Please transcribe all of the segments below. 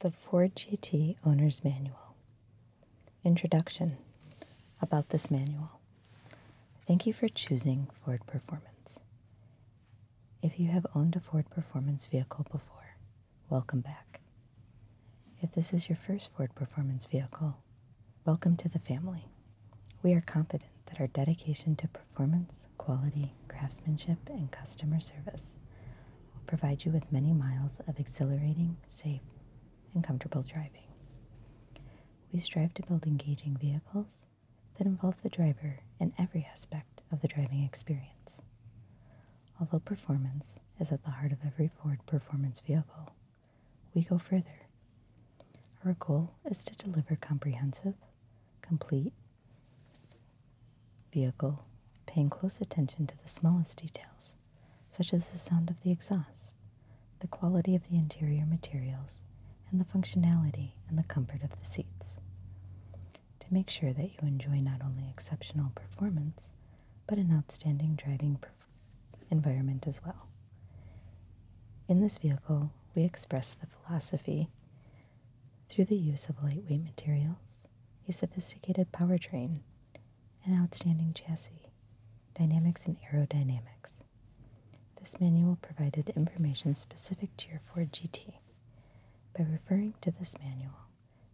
The Ford GT Owner's Manual. Introduction about this manual. Thank you for choosing Ford Performance. If you have owned a Ford Performance vehicle before, welcome back. If this is your first Ford Performance vehicle, welcome to the family. We are confident that our dedication to performance quality, craftsmanship, and customer service will provide you with many miles of exhilarating, safe, and comfortable driving. We strive to build engaging vehicles that involve the driver in every aspect of the driving experience. Although performance is at the heart of every Ford performance vehicle, we go further. Our goal is to deliver comprehensive, complete, Vehicle, paying close attention to the smallest details, such as the sound of the exhaust, the quality of the interior materials, and the functionality and the comfort of the seats. To make sure that you enjoy not only exceptional performance, but an outstanding driving environment as well. In this vehicle, we express the philosophy through the use of lightweight materials, a sophisticated powertrain, an outstanding chassis, dynamics, and aerodynamics, this manual provided information specific to your Ford GT. By referring to this manual,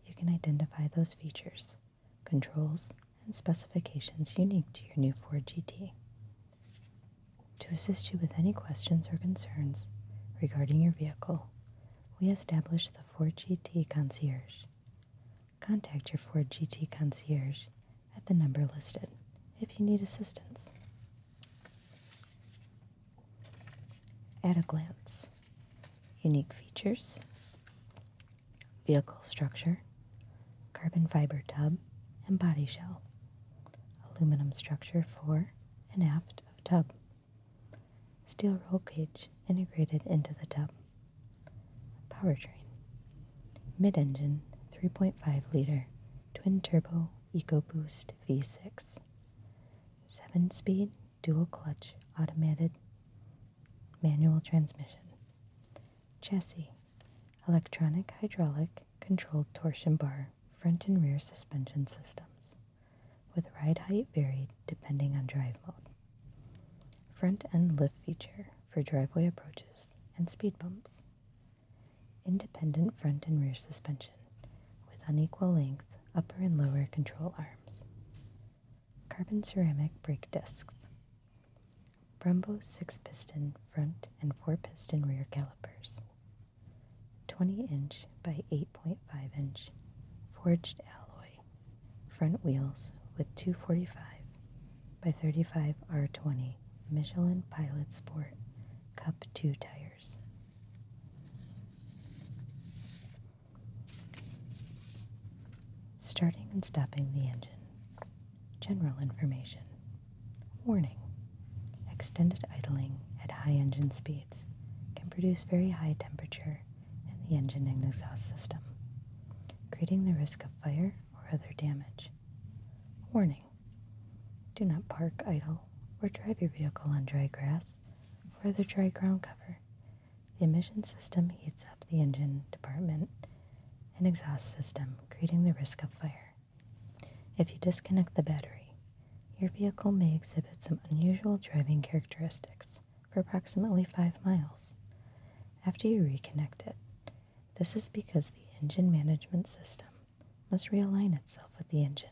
you can identify those features, controls, and specifications unique to your new Ford GT. To assist you with any questions or concerns regarding your vehicle, we established the Ford GT Concierge. Contact your Ford GT Concierge at the number listed if you need assistance. At a glance, unique features, vehicle structure, carbon fiber tub and body shell, aluminum structure fore and aft tub. Steel roll cage integrated into the tub. Powertrain Mid engine 3.5 liter twin turbo EcoBoost V6. 7 speed dual clutch automated manual transmission. Chassis Electronic hydraulic controlled torsion bar front and rear suspension systems, with ride height varied depending on drive mode. Front end lift feature for driveway approaches and speed bumps. Independent front and rear suspension with unequal length upper and lower control arms. Carbon ceramic brake discs. Brembo six piston front and four piston rear calipers. 20 inch by 8.5 inch forged alloy front wheels with 245 by 35 R20 Michelin Pilot Sport Cup 2 tires. Starting and stopping the engine. General information. Warning Extended idling at high engine speeds can produce very high temperature in the engine and exhaust system, creating the risk of fire or other damage. Warning Do not park idle or drive your vehicle on dry grass or other dry ground cover. The emission system heats up the engine department and exhaust system, creating the risk of fire. If you disconnect the battery, your vehicle may exhibit some unusual driving characteristics for approximately 5 miles. After you reconnect it, this is because the engine management system must realign itself with the engine.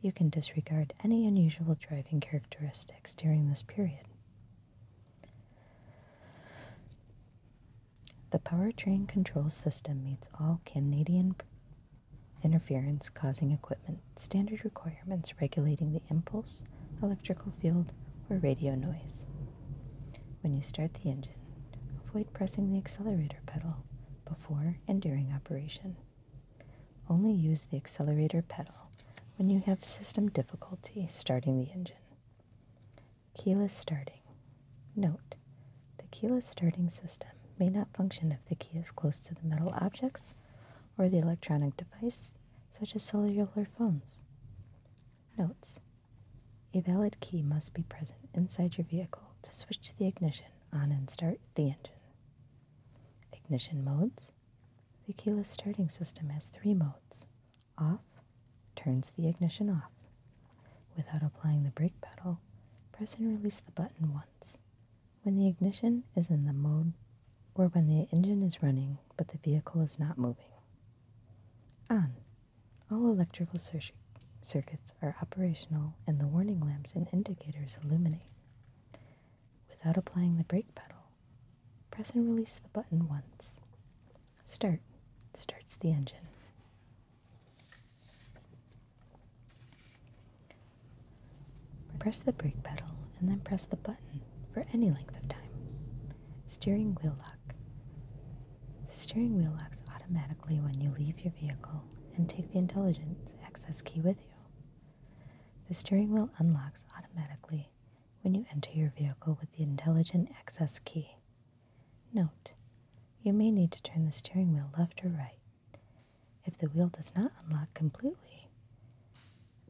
You can disregard any unusual driving characteristics during this period. The powertrain control system meets all Canadian interference causing equipment, standard requirements regulating the impulse, electrical field, or radio noise. When you start the engine, avoid pressing the accelerator pedal before and during operation. Only use the accelerator pedal when you have system difficulty starting the engine. Keyless starting Note, the keyless starting system may not function if the key is close to the metal objects or the electronic device, such as cellular phones. Notes, a valid key must be present inside your vehicle to switch the ignition on and start the engine. Ignition modes, the keyless starting system has three modes off, turns the ignition off. Without applying the brake pedal, press and release the button once. When the ignition is in the mode or when the engine is running but the vehicle is not moving. On. All electrical circuits are operational and the warning lamps and indicators illuminate. Without applying the brake pedal, press and release the button once. Start starts the engine. Press the brake pedal and then press the button for any length of time. Steering wheel lock. The steering wheel locks automatically when you leave your vehicle and take the intelligent access key with you. The steering wheel unlocks automatically when you enter your vehicle with the intelligent access key. Note, you may need to turn the steering wheel left or right. If the wheel does not unlock completely,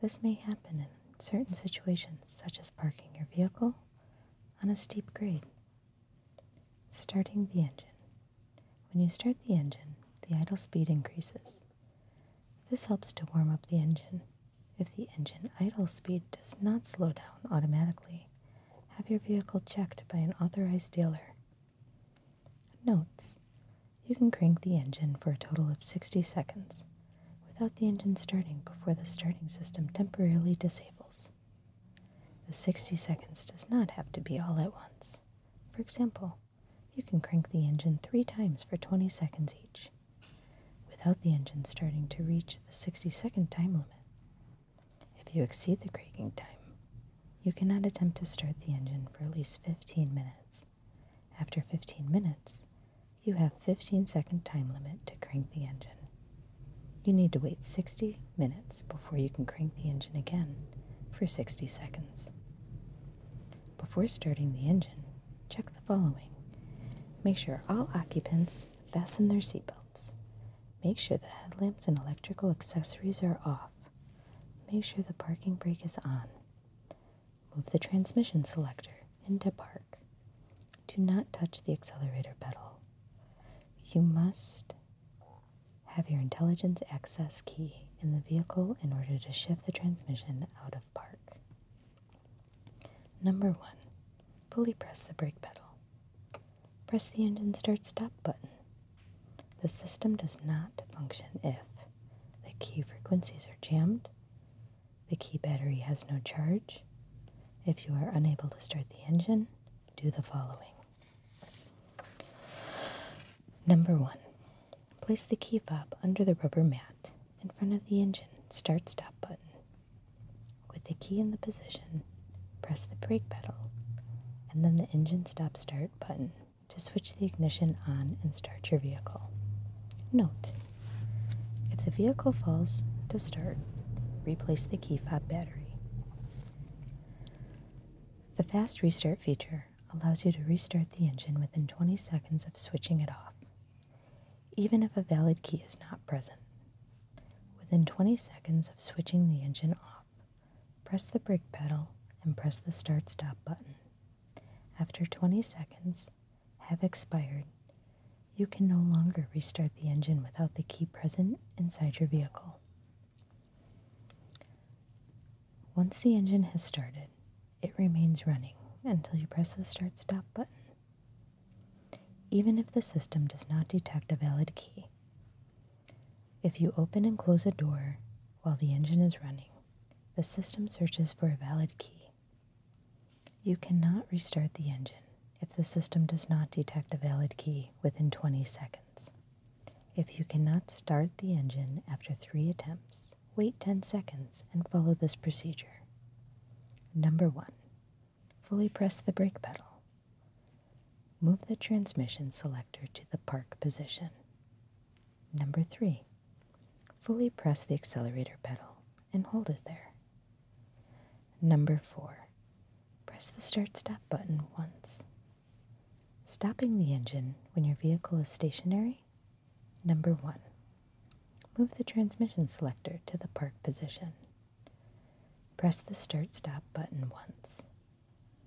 this may happen in certain situations, such as parking your vehicle on a steep grade. Starting the engine. When you start the engine, the idle speed increases. This helps to warm up the engine. If the engine idle speed does not slow down automatically, have your vehicle checked by an authorized dealer. Notes You can crank the engine for a total of 60 seconds without the engine starting before the starting system temporarily disables. The 60 seconds does not have to be all at once. For example, you can crank the engine three times for 20 seconds each without the engine starting to reach the 60 second time limit. If you exceed the cranking time, you cannot attempt to start the engine for at least 15 minutes. After 15 minutes, you have 15 second time limit to crank the engine. You need to wait 60 minutes before you can crank the engine again for 60 seconds. Before starting the engine, check the following. Make sure all occupants fasten their seatbelts. Make sure the headlamps and electrical accessories are off. Make sure the parking brake is on. Move the transmission selector into park. Do not touch the accelerator pedal. You must have your intelligence access key in the vehicle in order to shift the transmission out of park. Number one, fully press the brake pedal. Press the engine start stop button. The system does not function if the key frequencies are jammed, the key battery has no charge. If you are unable to start the engine, do the following. Number one, place the key fob under the rubber mat in front of the engine start stop button. With the key in the position, press the brake pedal and then the engine stop start button to switch the ignition on and start your vehicle. Note, if the vehicle falls to start, replace the key fob battery. The fast restart feature allows you to restart the engine within 20 seconds of switching it off, even if a valid key is not present. Within 20 seconds of switching the engine off, press the brake pedal and press the start stop button. After 20 seconds have expired, you can no longer restart the engine without the key present inside your vehicle. Once the engine has started, it remains running until you press the start stop button even if the system does not detect a valid key. If you open and close a door while the engine is running, the system searches for a valid key. You cannot restart the engine if the system does not detect a valid key within 20 seconds. If you cannot start the engine after three attempts, wait 10 seconds and follow this procedure. Number one, Fully press the brake pedal. Move the transmission selector to the park position. Number 3. Fully press the accelerator pedal and hold it there. Number 4. Press the start stop button once. Stopping the engine when your vehicle is stationary. Number 1. Move the transmission selector to the park position. Press the start stop button once.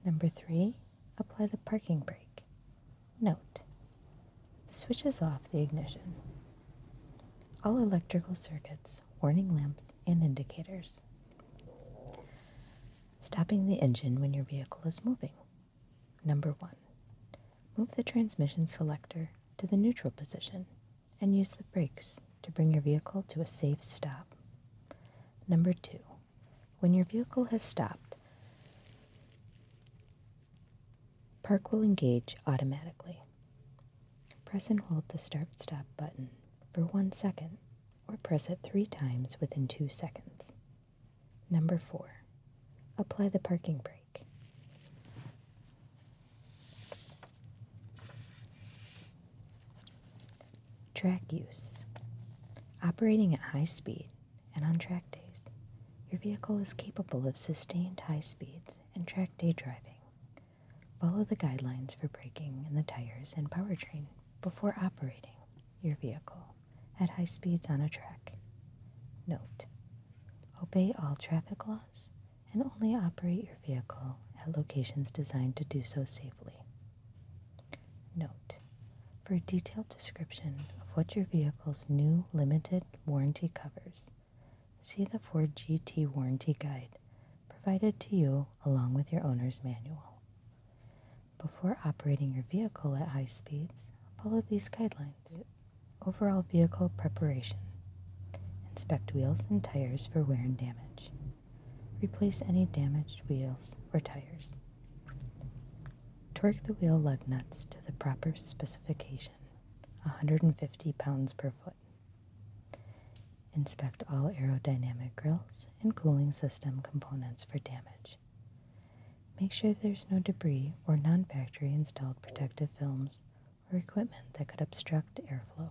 Number three, apply the parking brake. Note, the switches off the ignition. All electrical circuits, warning lamps, and indicators. Stopping the engine when your vehicle is moving. Number one, move the transmission selector to the neutral position and use the brakes to bring your vehicle to a safe stop. Number two, when your vehicle has stopped, park will engage automatically. Press and hold the start stop button for one second or press it three times within two seconds. Number four, apply the parking brake. Track use. Operating at high speed and on track days, your vehicle is capable of sustained high speeds and track day driving. Follow the guidelines for braking and the tires and powertrain before operating your vehicle at high speeds on a track. Note Obey all traffic laws and only operate your vehicle at locations designed to do so safely. Note, for a detailed description of what your vehicle's new limited warranty covers, see the Ford GT Warranty Guide provided to you along with your owner's manual. Before operating your vehicle at high speeds, follow these guidelines. Overall vehicle preparation. Inspect wheels and tires for wear and damage. Replace any damaged wheels or tires. Torque the wheel lug nuts to the proper specification 150 pounds per foot. Inspect all aerodynamic grills and cooling system components for damage. Make sure there's no debris or non factory installed protective films or equipment that could obstruct airflow.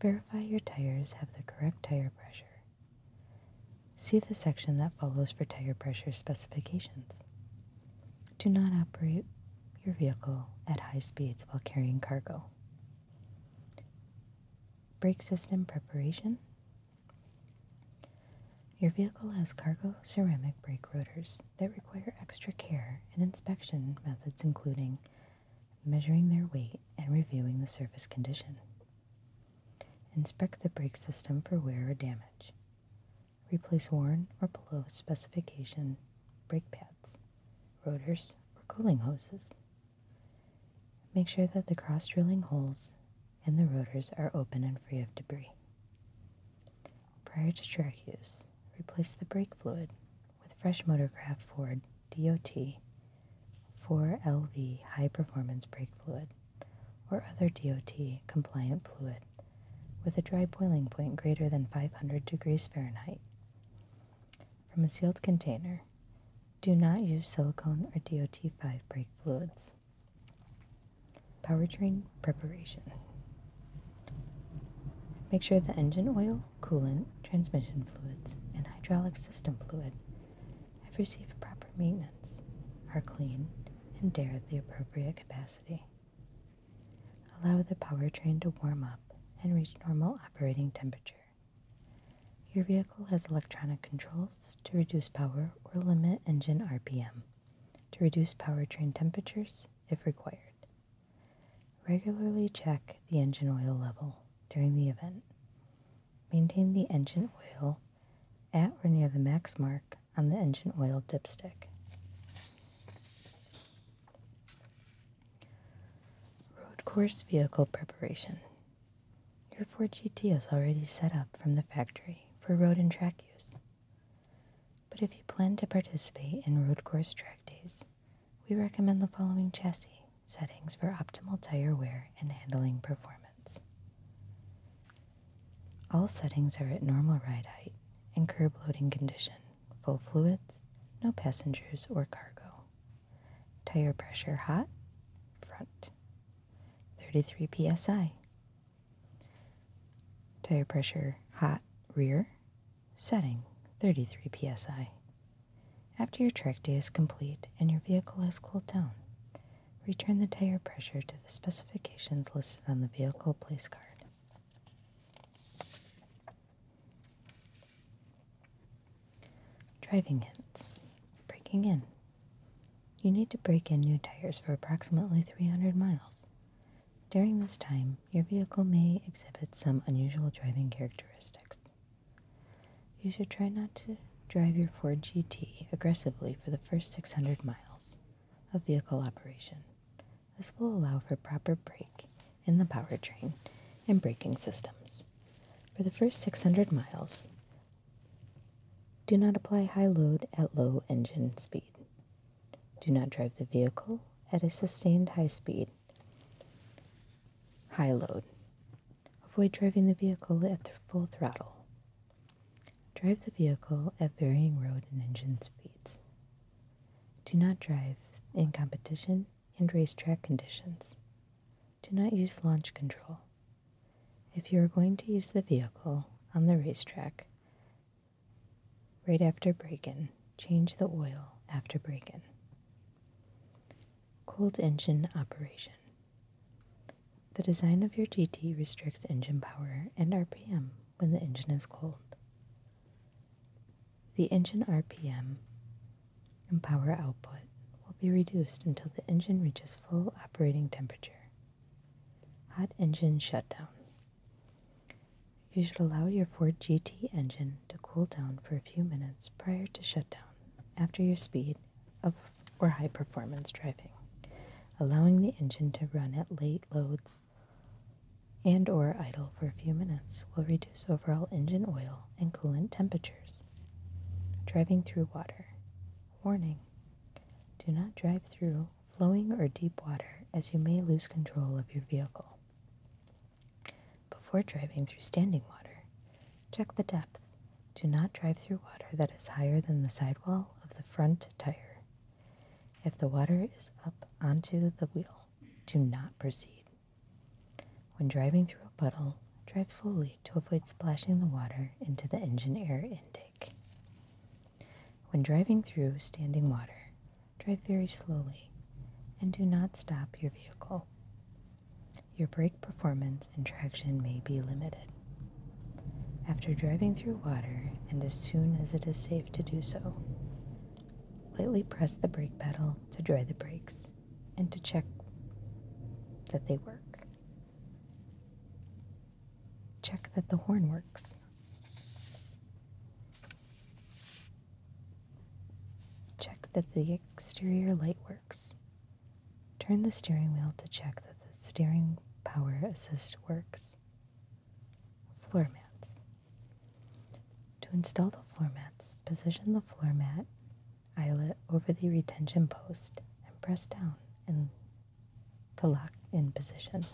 Verify your tires have the correct tire pressure. See the section that follows for tire pressure specifications. Do not operate your vehicle at high speeds while carrying cargo. Brake system preparation. Your vehicle has cargo ceramic brake rotors that require extra care and inspection methods, including measuring their weight, and reviewing the surface condition. Inspect the brake system for wear or damage. Replace worn or below specification brake pads, rotors, or cooling hoses. Make sure that the cross drilling holes and the rotors are open and free of debris. Prior to track use, replace the brake fluid with fresh Motorcraft Ford DOT 4LV high performance brake fluid or other DOT compliant fluid with a dry boiling point greater than 500 degrees Fahrenheit. From a sealed container, do not use silicone or DOT5 brake fluids. Powertrain preparation. Make sure the engine oil coolant, transmission fluids, and hydraulic system fluid have received proper maintenance, are clean, and dare at the appropriate capacity. Allow the powertrain to warm up and reach normal operating temperature. Your vehicle has electronic controls to reduce power or limit engine RPM, to reduce powertrain temperatures if required. Regularly check the engine oil level during the event. Maintain the engine oil at or near the max mark on the engine oil dipstick. Road course vehicle preparation. Your Ford GT is already set up from the factory for road and track use. But if you plan to participate in road course track days, we recommend the following chassis settings for optimal tire wear and handling performance. All settings are at normal ride height and curb loading condition, full fluids, no passengers or cargo. Tire pressure hot, front, 33 psi. Tire pressure hot, rear, Setting 33 psi. After your trek day is complete and your vehicle has cooled down, return the tire pressure to the specifications listed on the vehicle place card. Driving hints. Breaking in. You need to break in new tires for approximately 300 miles. During this time, your vehicle may exhibit some unusual driving characteristics. You should try not to drive your Ford GT aggressively for the first 600 miles of vehicle operation. This will allow for proper brake in the powertrain and braking systems. For the first 600 miles, do not apply high load at low engine speed. Do not drive the vehicle at a sustained high speed. High load. Avoid driving the vehicle at th full throttle. Drive the vehicle at varying road and engine speeds. Do not drive in competition and racetrack conditions. Do not use launch control. If you are going to use the vehicle on the racetrack, right after break in. Change the oil after break in. Cold engine operation. The design of your GT restricts engine power and RPM when the engine is cold. The engine RPM and power output will be reduced until the engine reaches full operating temperature. Hot engine shutdown. You should allow your Ford GT engine to cool down for a few minutes prior to shutdown after your speed of or high performance driving, allowing the engine to run at light loads and or idle for a few minutes will reduce overall engine oil and coolant temperatures. Driving through water. Warning. Do not drive through flowing or deep water as you may lose control of your vehicle. Before driving through standing water, check the depth. Do not drive through water that is higher than the sidewall of the front tire. If the water is up onto the wheel, do not proceed. When driving through a puddle, drive slowly to avoid splashing the water into the engine air intake. When driving through standing water, drive very slowly, and do not stop your vehicle. Your brake performance and traction may be limited. After driving through water and as soon as it is safe to do so, lightly press the brake pedal to dry the brakes and to check that they work. Check that the horn works. Check that the exterior light works. Turn the steering wheel to check that the steering power assist works. Floor mats. To install the floor mats, position the floor mat eyelet over the retention post and press down and to lock in position.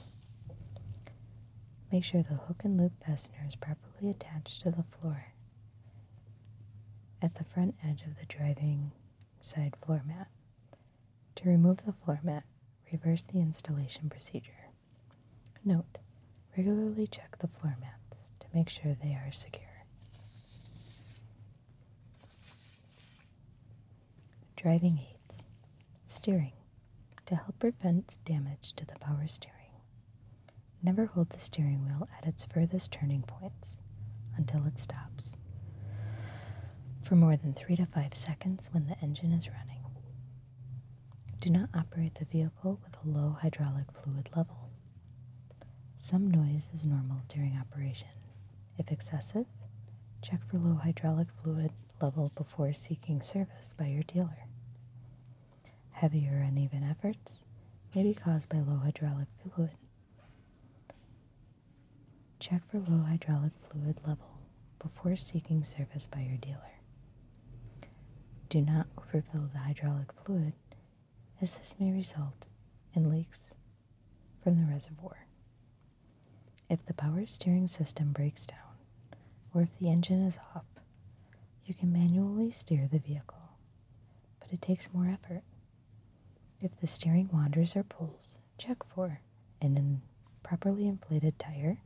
Make sure the hook and loop fastener is properly attached to the floor at the front edge of the driving side floor mat. To remove the floor mat, reverse the installation procedure. Note, regularly check the floor mats to make sure they are secure. Driving aids, steering. To help prevent damage to the power steering, never hold the steering wheel at its furthest turning points until it stops for more than three to five seconds when the engine is running. Do not operate the vehicle with a low hydraulic fluid level. Some noise is normal during operation. If excessive, check for low hydraulic fluid level before seeking service by your dealer. Heavy or uneven efforts may be caused by low hydraulic fluid. Check for low hydraulic fluid level before seeking service by your dealer. Do not overfill the hydraulic fluid, as this may result in leaks from the reservoir. If the power steering system breaks down, or if the engine is off, you can manually steer the vehicle, but it takes more effort. If the steering wanders or pulls, check for an improperly inflated tire,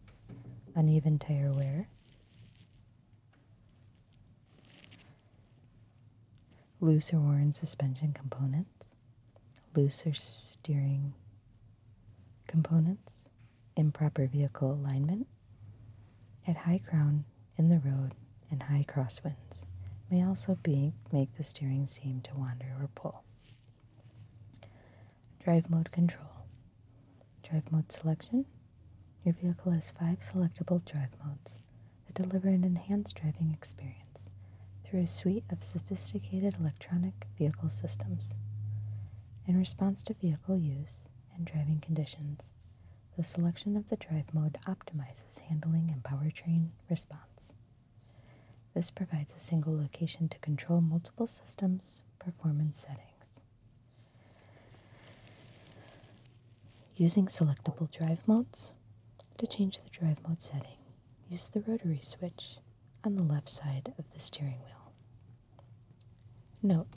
uneven tire wear, loose or worn suspension components, loose or steering components, improper vehicle alignment, at high crown in the road and high crosswinds may also make the steering seem to wander or pull. Drive mode control. Drive mode selection. Your vehicle has five selectable drive modes that deliver an enhanced driving experience through a suite of sophisticated electronic vehicle systems. In response to vehicle use and driving conditions, the selection of the drive mode optimizes handling and powertrain response. This provides a single location to control multiple systems' performance settings. Using selectable drive modes, to change the drive mode setting, use the rotary switch on the left side of the steering wheel. Note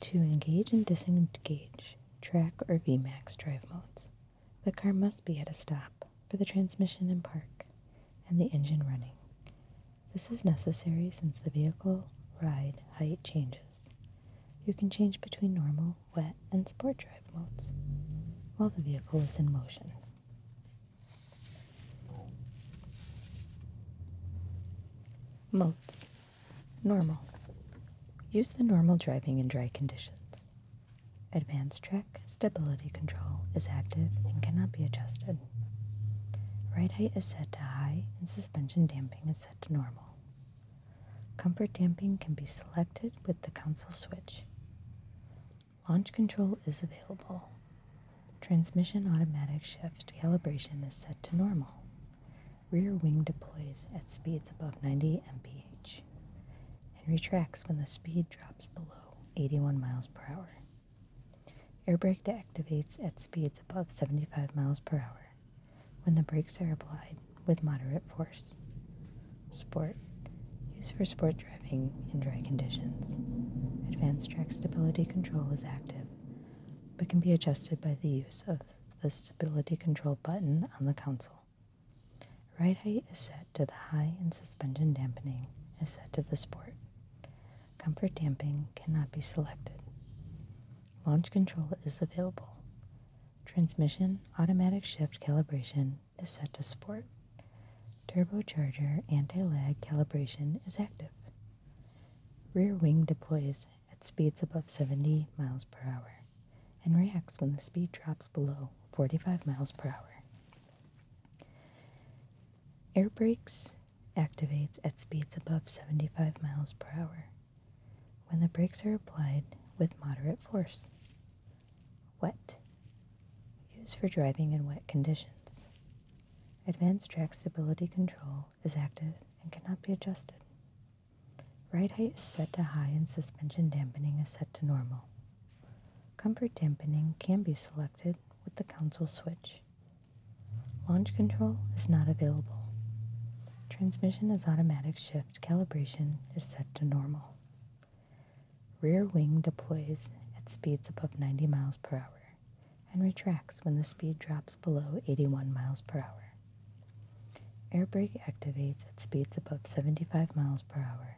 to engage and disengage track or VMAX drive modes, the car must be at a stop for the transmission in park and the engine running. This is necessary since the vehicle ride height changes. You can change between normal, wet, and sport drive modes while the vehicle is in motion. Modes. Normal. Use the normal driving in dry conditions. Advanced track stability control is active and cannot be adjusted. Ride height is set to high and suspension damping is set to normal. Comfort damping can be selected with the console switch. Launch control is available. Transmission automatic shift calibration is set to normal. Rear wing deploys at speeds above 90 mph and retracts when the speed drops below 81 miles per hour. Air brake deactivates at speeds above 75 miles per hour when the brakes are applied with moderate force. Sport. Used for sport driving in dry conditions. Advanced track stability control is active, but can be adjusted by the use of the stability control button on the console. Ride height is set to the high, and suspension dampening is set to the sport. Comfort damping cannot be selected. Launch control is available. Transmission automatic shift calibration is set to sport turbocharger anti-lag calibration is active. Rear wing deploys at speeds above 70 miles per hour and reacts when the speed drops below 45 miles per hour. Air brakes activates at speeds above 75 miles per hour when the brakes are applied with moderate force. Wet. Used for driving in wet conditions. Advanced track stability control is active and cannot be adjusted. Ride height is set to high and suspension dampening is set to normal. Comfort dampening can be selected with the console switch. Launch control is not available. Transmission is automatic shift calibration is set to normal. Rear wing deploys at speeds above 90 miles per hour and retracts when the speed drops below 81 miles per hour. Air brake activates at speeds above 75 miles per hour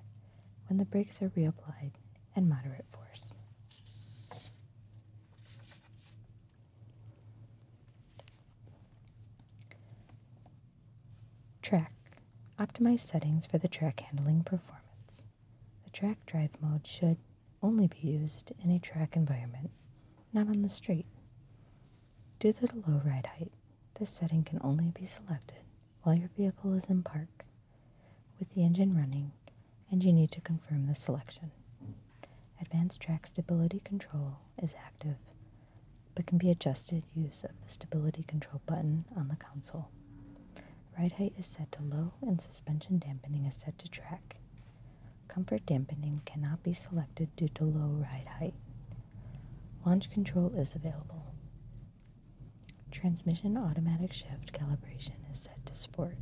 when the brakes are reapplied and moderate force. Track. Optimize settings for the track handling performance. The track drive mode should only be used in a track environment, not on the street. Due to the low ride height, this setting can only be selected while your vehicle is in park with the engine running and you need to confirm the selection. Advanced track stability control is active but can be adjusted use of the stability control button on the console. Ride height is set to low and suspension dampening is set to track. Comfort dampening cannot be selected due to low ride height. Launch control is available. Transmission automatic shift calibration is set to sport.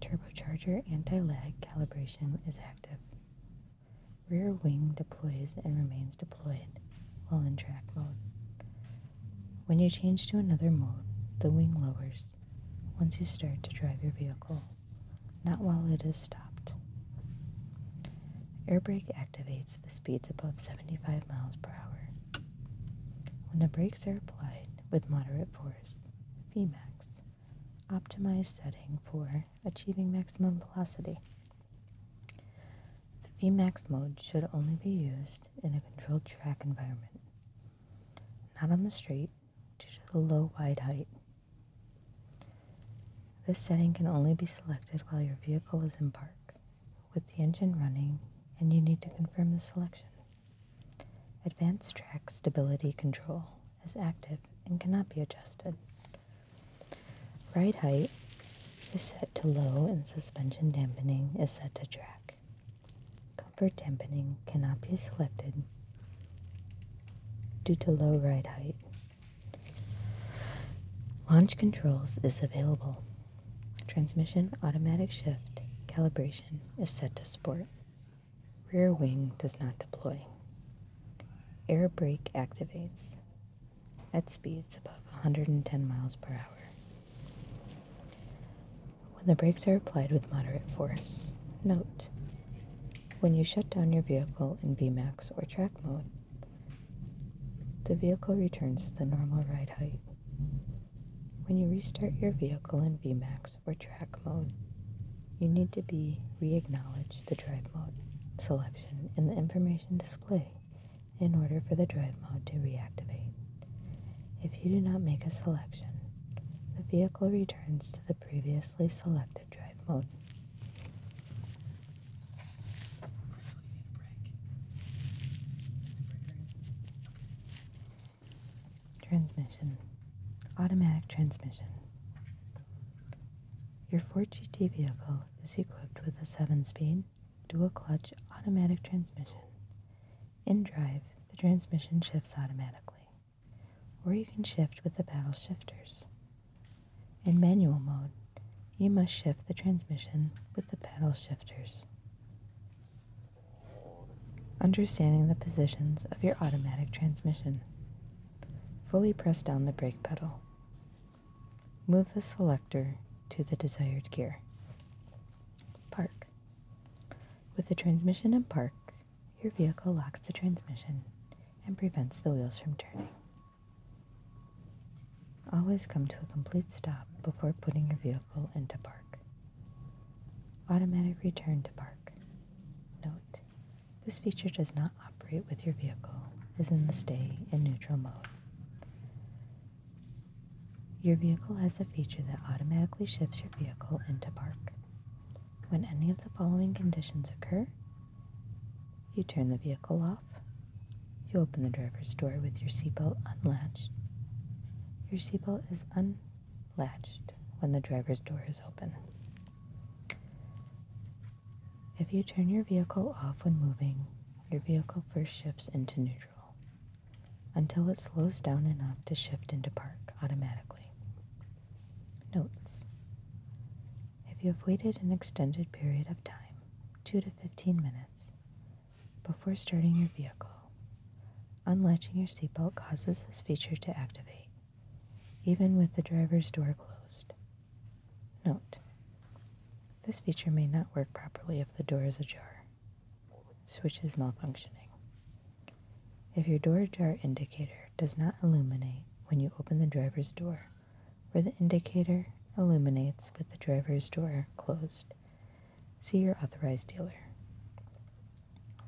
Turbocharger anti lag calibration is active. Rear wing deploys and remains deployed while in track mode. When you change to another mode, the wing lowers once you start to drive your vehicle, not while it is stopped. Air brake activates the speeds above 75 miles per hour. When the brakes are applied with moderate force, Vmax, optimize setting for achieving maximum velocity. The Vmax mode should only be used in a controlled track environment, not on the street due to the low wide height. This setting can only be selected while your vehicle is in park, with the engine running, and you need to confirm the selection. Advanced Track Stability Control is active and cannot be adjusted. Ride height is set to low and suspension dampening is set to track. Comfort dampening cannot be selected due to low ride height. Launch controls is available. Transmission automatic shift calibration is set to sport. Rear wing does not deploy. Air brake activates at speeds above 110 miles per hour. When the brakes are applied with moderate force, note when you shut down your vehicle in VMAX or track mode, the vehicle returns to the normal ride height. When you restart your vehicle in VMAX or track mode, you need to be re acknowledge the drive mode selection in the information display in order for the drive mode to reactivate. If you do not make a selection, the vehicle returns to the previously selected drive mode. Transmission. Automatic transmission. Your 4GT vehicle is equipped with a 7 speed, dual clutch automatic transmission. In drive, the transmission shifts automatically, or you can shift with the paddle shifters. In manual mode, you must shift the transmission with the paddle shifters. Understanding the positions of your automatic transmission. Fully press down the brake pedal. Move the selector to the desired gear. Park. With the transmission in park, your vehicle locks the transmission and prevents the wheels from turning. Always come to a complete stop before putting your vehicle into park. Automatic return to park. Note, this feature does not operate with your vehicle, is in the stay in neutral mode. Your vehicle has a feature that automatically shifts your vehicle into park. When any of the following conditions occur, you turn the vehicle off, you open the driver's door with your seatbelt unlatched, your seatbelt is unlatched when the driver's door is open. If you turn your vehicle off when moving, your vehicle first shifts into neutral until it slows down enough to shift into park automatically. Notes If you have waited an extended period of time, 2 to 15 minutes, before starting your vehicle, unlatching your seatbelt causes this feature to activate, even with the driver's door closed. Note, this feature may not work properly if the door is ajar. Switch is malfunctioning. If your doorjar indicator does not illuminate when you open the driver's door, where the indicator illuminates with the driver's door closed, see your authorized dealer.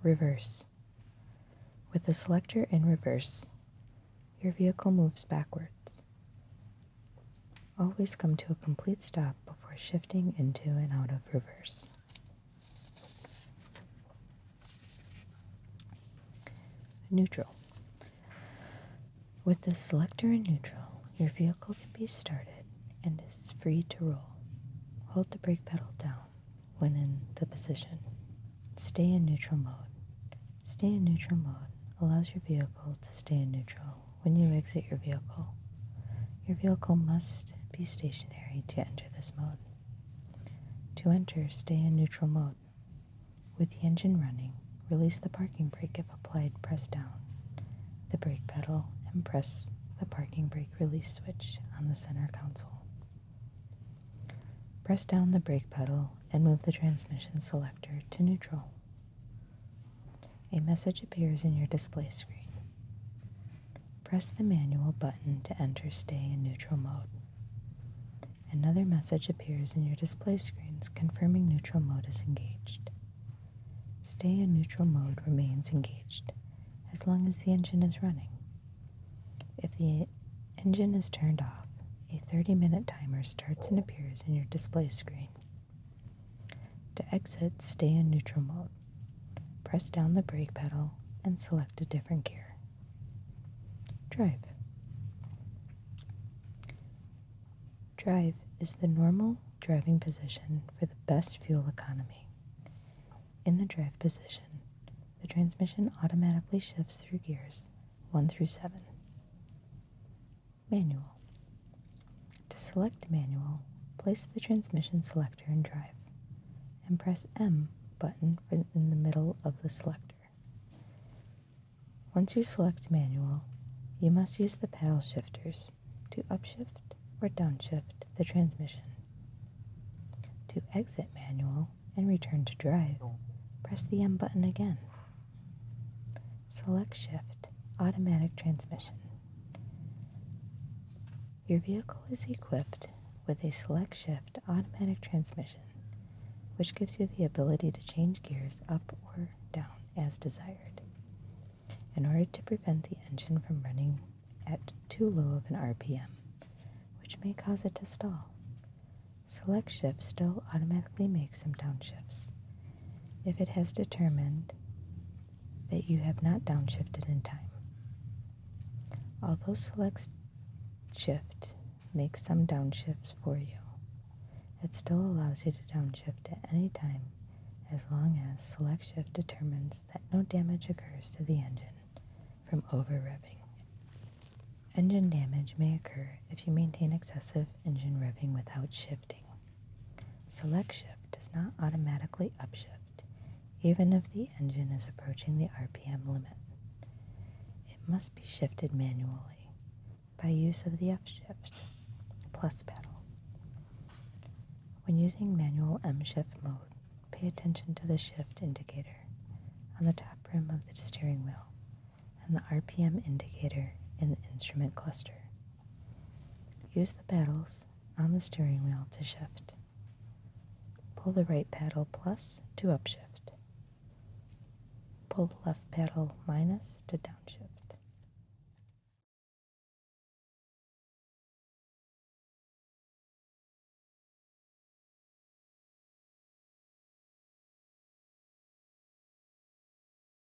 Reverse. With the selector in reverse, your vehicle moves backwards. Always come to a complete stop before shifting into and out of reverse. Neutral. With the selector in neutral, your vehicle can be started and is free to roll. Hold the brake pedal down when in the position. Stay in neutral mode. Stay in neutral mode allows your vehicle to stay in neutral when you exit your vehicle. Your vehicle must be stationary to enter this mode. To enter, stay in neutral mode. With the engine running, release the parking brake if applied, press down the brake pedal, and press the parking brake release switch on the center console. Press down the brake pedal and move the transmission selector to neutral. A message appears in your display screen. Press the manual button to enter stay in neutral mode. Another message appears in your display screens confirming neutral mode is engaged. Stay in neutral mode remains engaged as long as the engine is running. If the engine is turned off, a 30 minute timer starts and appears in your display screen. To exit, stay in neutral mode. Press down the brake pedal and select a different gear. Drive. Drive is the normal driving position for the best fuel economy. In the drive position, the transmission automatically shifts through gears 1 through 7. Manual. To select manual, place the transmission selector in drive and press M button in the middle of the selector. Once you select manual, you must use the paddle shifters to upshift or downshift the transmission. To exit manual and return to drive, press the M button again. Select Shift Automatic Transmission. Your vehicle is equipped with a Select Shift Automatic Transmission, which gives you the ability to change gears up or down as desired. In order to prevent the engine from running at too low of an RPM, which may cause it to stall, Select Shift still automatically makes some downshifts if it has determined that you have not downshifted in time. Although select shift makes some downshifts for you, it still allows you to downshift at any time as long as select shift determines that no damage occurs to the engine from over-revving. Engine damage may occur if you maintain excessive engine revving without shifting. Select shift does not automatically upshift, even if the engine is approaching the RPM limit. It must be shifted manually by use of the upshift plus pedal. When using manual M shift mode, pay attention to the shift indicator on the top rim of the steering wheel and the RPM indicator in the instrument cluster. Use the pedals on the steering wheel to shift. Pull the right paddle plus to upshift. Pull the left paddle minus to downshift.